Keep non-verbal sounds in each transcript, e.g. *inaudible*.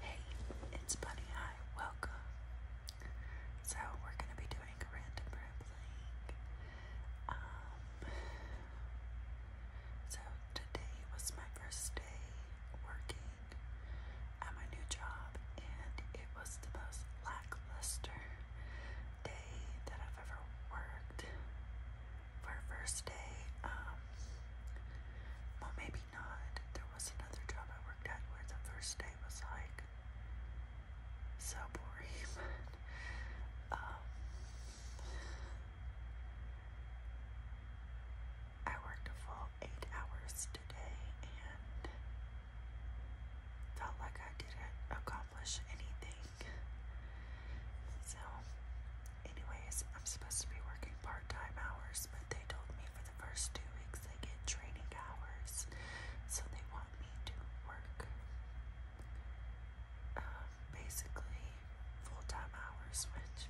Hey, it's Bunny. Hi, welcome. So, we're going to be doing a random role Um, so, today was my first day working at my new job, and it was the most lackluster day that I've ever worked for first day. Um, well, maybe not. There was another job I worked at where the first day was like so boring, *laughs* um, I worked a full eight hours today and felt like I didn't accomplish anything. So Anyways, I'm supposed to be working part time hours, but they told me for the first two weeks they get training hours, so they want me to work um, basically full time hours, which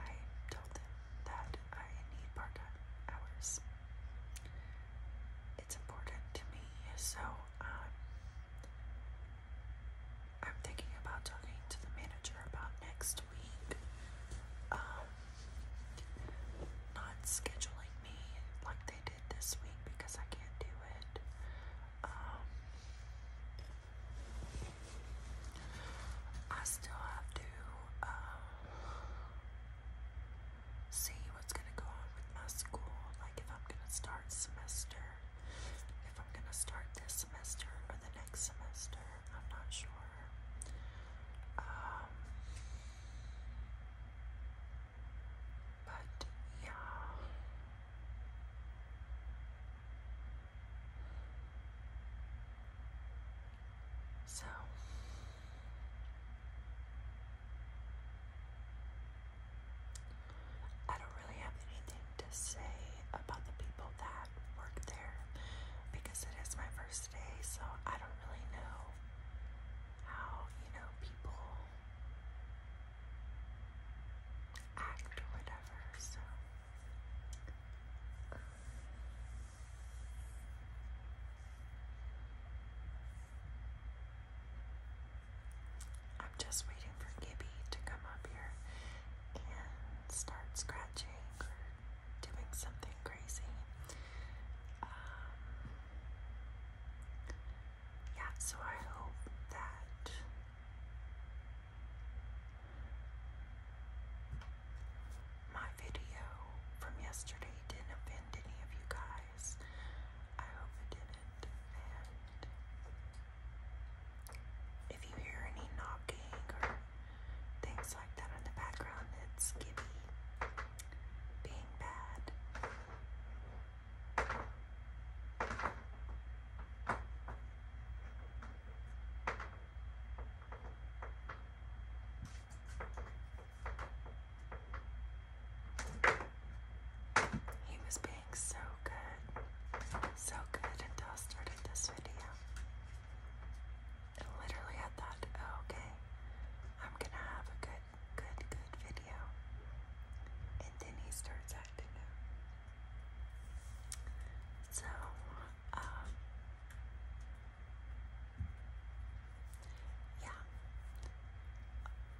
I told them that I need part time hours. It's important to me, so um, I'm thinking about talking to the manager about next week. Um, not scheduling me like they did this week because I can't do it. Um, I still have to um, see what's gonna go on with my school, like if I'm gonna start semester if I'm gonna start this semester or the next semester. I'm not sure. Um, but yeah. So. I don't really have anything to say about the people that work there because it is my first day, so I don't really know how, you know, people act or whatever, so. I'm just waiting for Gibby to come up here and start scratching or doing something crazy. Um, yeah, so I hope that my video from yesterday didn't offend any of you guys. I hope it didn't, if you hear any knocking or things like that in the background, it's Gibby being bad. He was being so good. So good until I started this video. And literally I thought, oh, okay, I'm gonna have a good, good, good video. And then he starts acting up. So, um, yeah,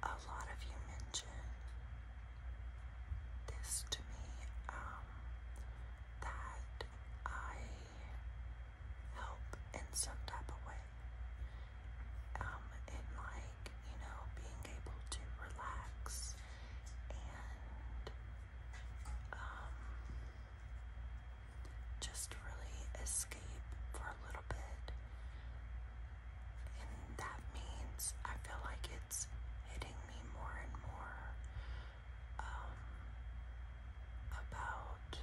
a lot of you mentioned this to me um, that I help in some type of way. Um, and like, you know, being able to relax and um, just really escape for a little bit. And that means I feel like it's hitting me more and more um, about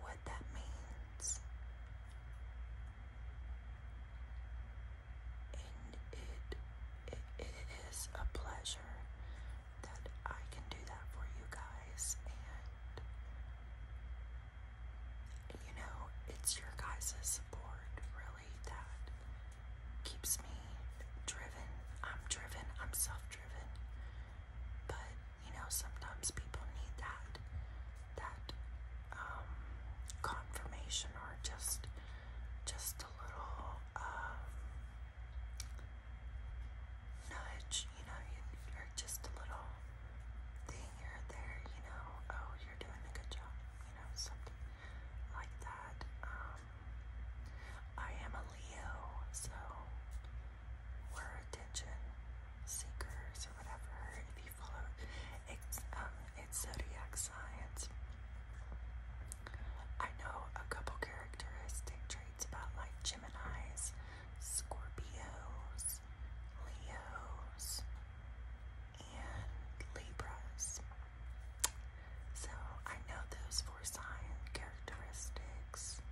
what that means. And it, it is a pleasure that I can do that for you guys. And, you know, it's your guys' support, really, that keeps me driven. I'm driven, I'm self driven. But, you know, sometimes people need that, that, um, confirmation or just, just a little, um, nudge, you know, you're just a little thing here or there, you know, oh, you're doing a good job you know, something like that. Um, I am a Leo, so we're attention seekers or whatever. If you follow it's um it's zodiac science. I know a couple characteristic traits about like Gemini's, Scorpios, Leos, and Libras. So I know those four sign characteristics.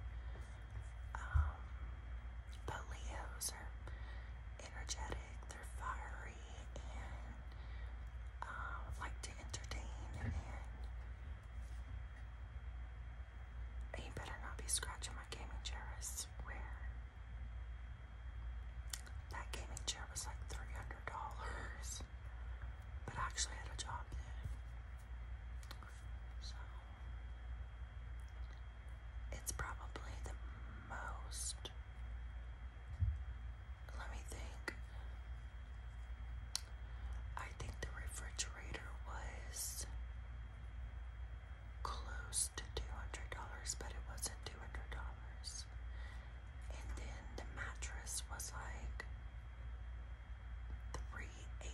Um, but Leos are energetic, they're fiery, and um, like to entertain. And you better not be scratching my gaming chair, I swear. That gaming chair was like $300, but I actually had a job then. So, it's probably the most, let me think. I think the refrigerator was close to $200, but it wasn't $200 and then the mattress was like 380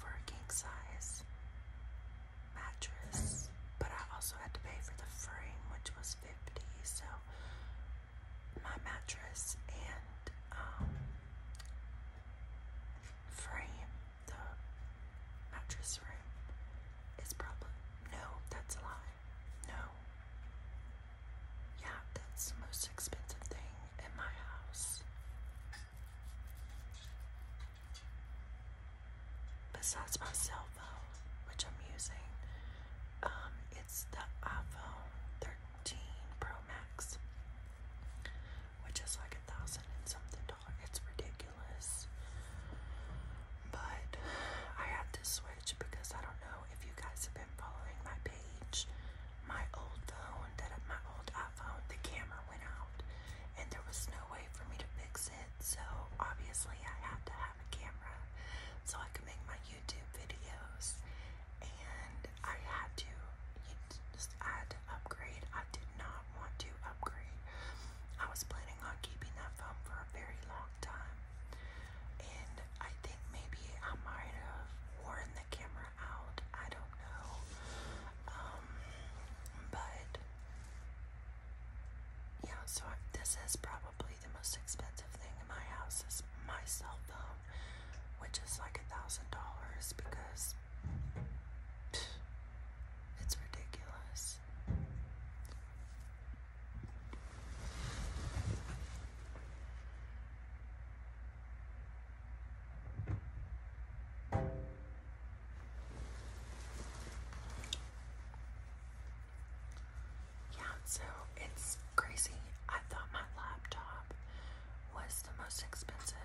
for a king size mattress but I also had to pay for the frame which was 50 so my mattress and um frame the mattress frame is probably no that's a lie no. Yeah, that's the most expensive thing in my house. Besides my cell phone, which I'm using, um, it's the iPhone 13 Pro Max, which is like a thousand and something dollars. It's ridiculous. But I had to switch because I don't know if you guys have been following my page. My old phone, that my old iPhone, the camera went out, and there was no way for me to fix it. So obviously, I had to have a camera so I could make my YouTube videos, and I had to. I had to upgrade. I did not want to upgrade. I was planning on keeping that phone for a very long time. And I think maybe I might have worn the camera out. I don't know. Um, but yeah, so this is probably the most expensive thing in my house is my cell which is like a thousand dollars because it's ridiculous. Yeah, so it's crazy. I thought my laptop was the most expensive.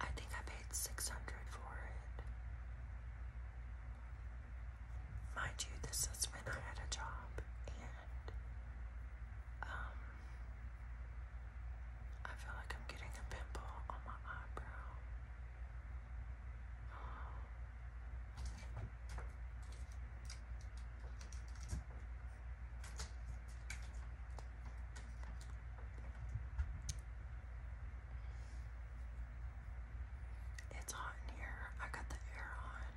I think I paid 600 for it. Mind you, this is when I had a job and um I feel like I'm getting a pimple on my eyebrow. It's hot in here. I got the air on.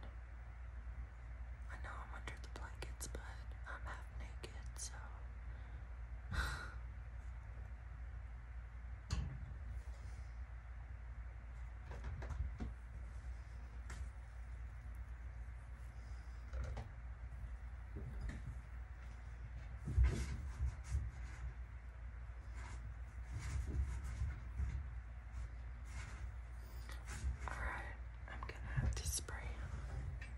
I know I'm under the blankets, but I'm half naked, so. *laughs* All right, I'm gonna have to spray him.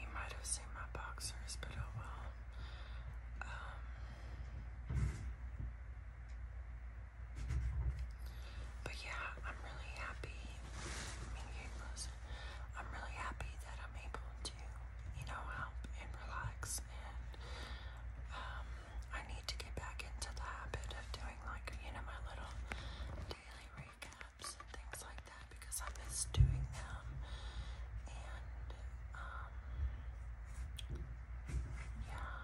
You might have seen my boxers, but oh well. Um, but yeah, I'm really happy. I am really happy that I'm able to, you know, help and relax and um, I need to get back into the habit of doing like, you know, my little daily recaps things like that because I miss doing them. And, um, yeah.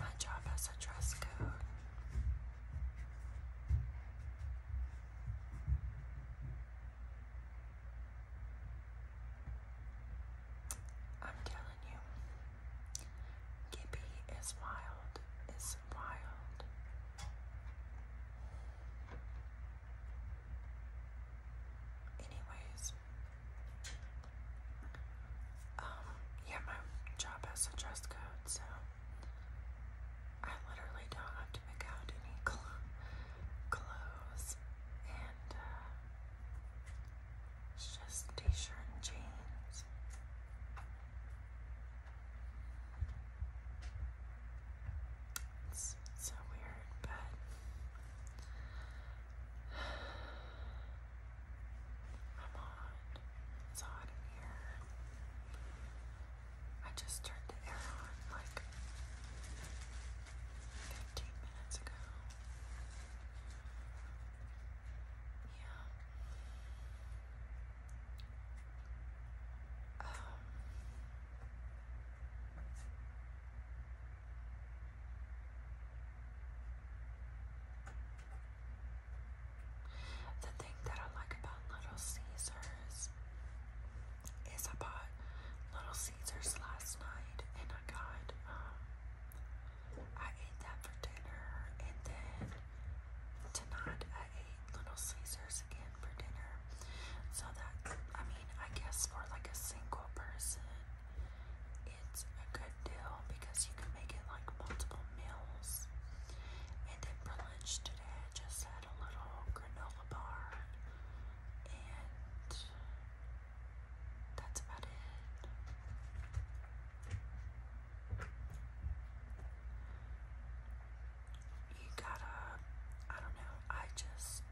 My job has a dress code. I'm telling you, Gibby is wild. It's wild. Anyways, um, yeah, my job has a dress code, so I literally don't have to pick out any clothes, and uh, it's just t-shirt and jeans. It's so weird, but i *sighs* on. It's hot in here. I just turned the air on like 15 minutes ago. Yeah. Um. I the thing that I like about Little Caesars is I bought Little Caesars last night and I got, um, I ate that for dinner and then tonight I ate Little Caesars again for dinner. So that, I mean, I guess for like a single person, it's a good deal because you can make it like multiple meals. And then today. I just had a little granola bar, and that's about it. You gotta, I don't know, I just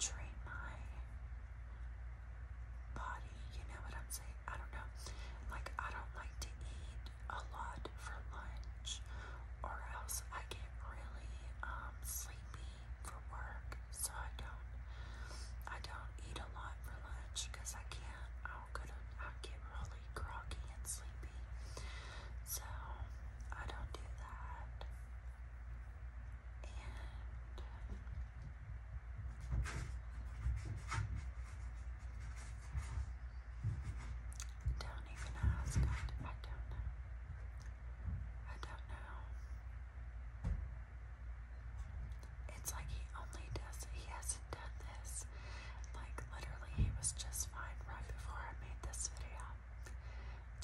train my body, you know what I'm saying? I don't know. Like, I don't like to eat a lot for lunch, or else I get really um, sleepy for work. So I don't, I don't eat a lot for lunch because I can't. I'm gonna, I get really groggy and sleepy. So I don't do that. Don't even ask. I, don't know. I don't know. It's like he only does He hasn't done this. Like, literally, he was just fine right before I made this video.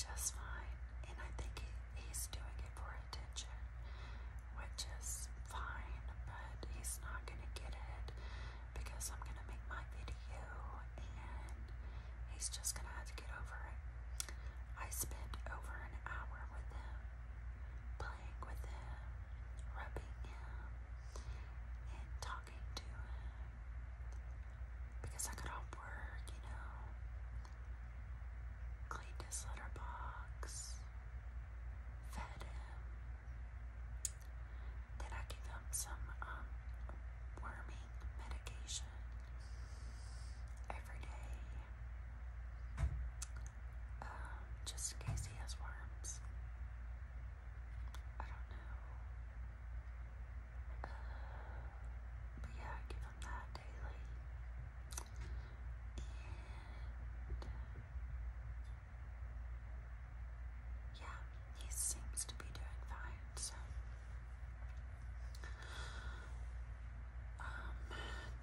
Just fine. And I think he, he's doing it for attention which is fine, but he's not gonna get it because I'm gonna make my video and he's just gonna have to get over it. I spent over an hour with him, playing with him, rubbing him, and talking to him because I got off work, you know. Cleaned his litter box, fed him. Then I gave him some um, worming medication every day, um, just in case he has worms. I don't know. Uh, but yeah, I give him that daily. Yeah, he seems to be doing fine, so. Um,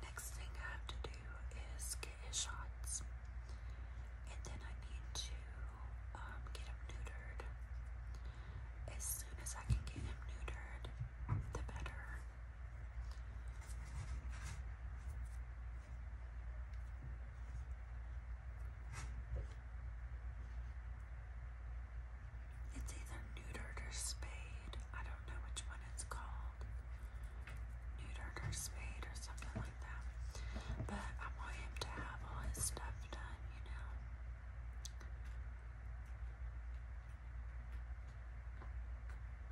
next thing I have to do is get his shots. And then I need to um, get him neutered. As soon as I can get him neutered, the better. It's either neutered or spayed. I don't know which one it's called. Neutered or spayed or something like that. But I want him to have all his stuff done, you know.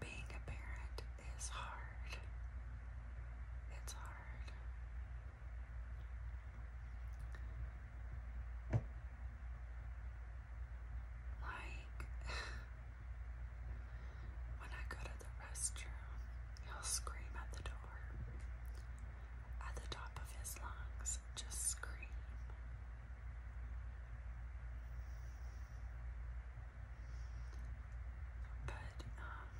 Being a parent is hard. It's hard. Like, *sighs* when I go to the restroom, he'll scream at the door at the top of his lungs, just scream. But um,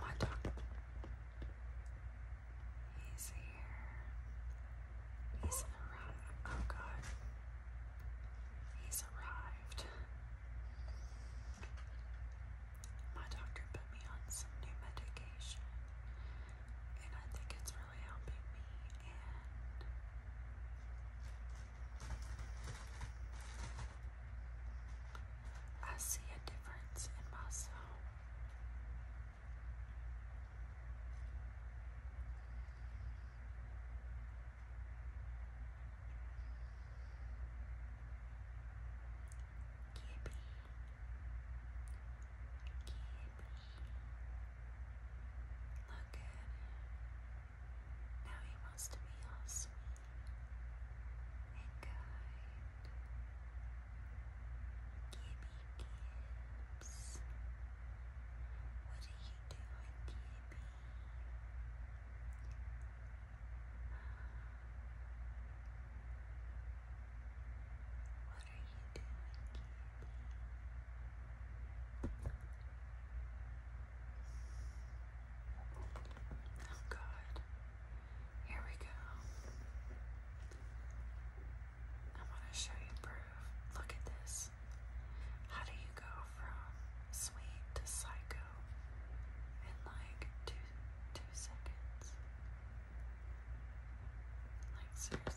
my dog, he's here. He's arrived. Oh God, he's arrived my doctor put me on some new medication, and I think it's really helping me. I see a difference in myself. Look at Now he wants to be all sweet and Gibby Gibbs. What are you doing, Gibby? What are you doing, Oh God. Here we go. I want to show you proof. Look at this. How do you go from sweet to psycho? in like two two seconds. Like seriously.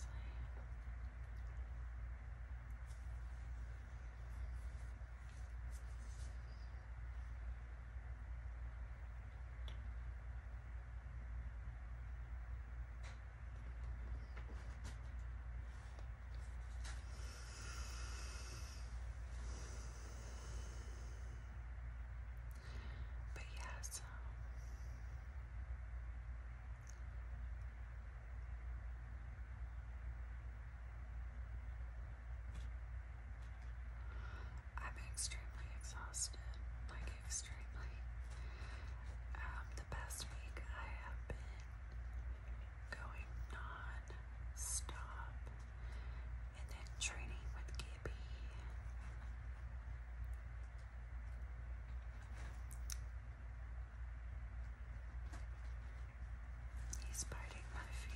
But yes, um, I'm extremely exhausted, like extremely. Um, the past week I have been going non-stop and then training with Gibby. He's biting my feet.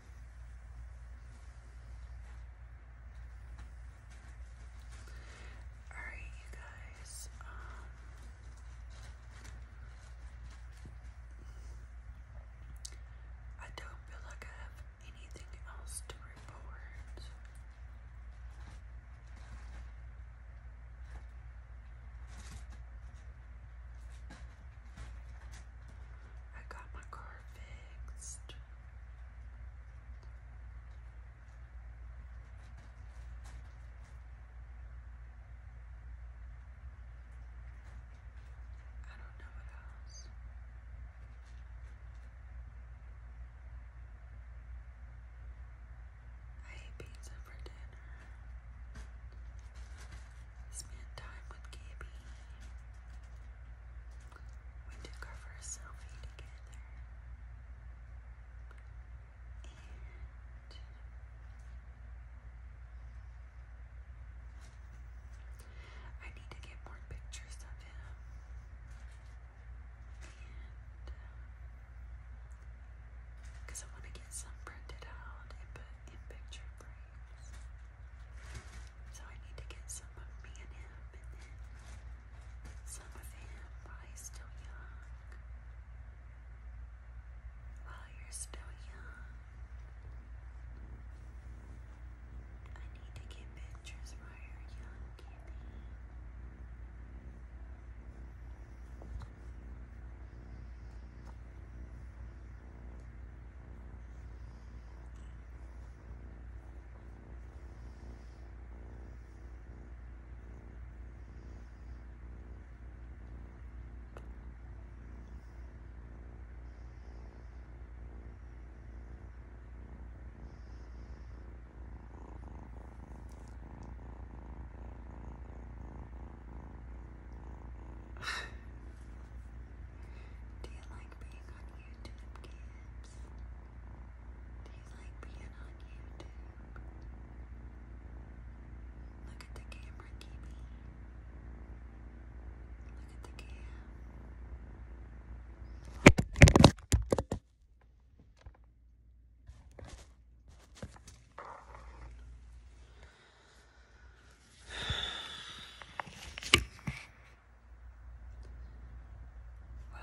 Alright, you guys. Um, I don't feel like I have anything else to report. I got my car fixed. I don't know what else. I ate pizza for dinner. Spent time with Gabby we took our first selfie together. I need to get more pictures of him. And because uh, I want to get some printed out and put in picture frames. So I need to get some of me and him and then some of him while he's still young. While you're still young. I need to get pictures while you're young, Kitty. *sighs* Do you like being YouTube kids? Do you like being on YouTube? Look at the camera, Kimmy. Look at the cam. Well,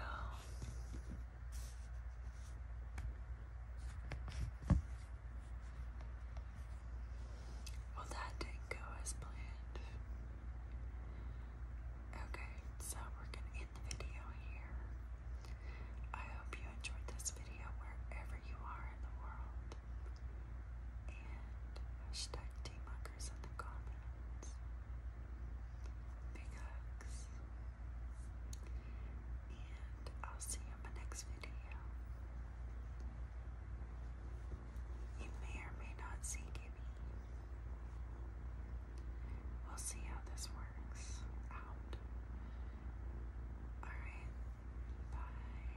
well, that didn't go as planned. Okay, so we're gonna end the video here. I hope you enjoyed this video wherever you are in the world and hashtag Teamuckers in the comments. Big hugs. And I'll see you in my next video. You may or may not see Gibby. We'll see how this works out. Alright, bye.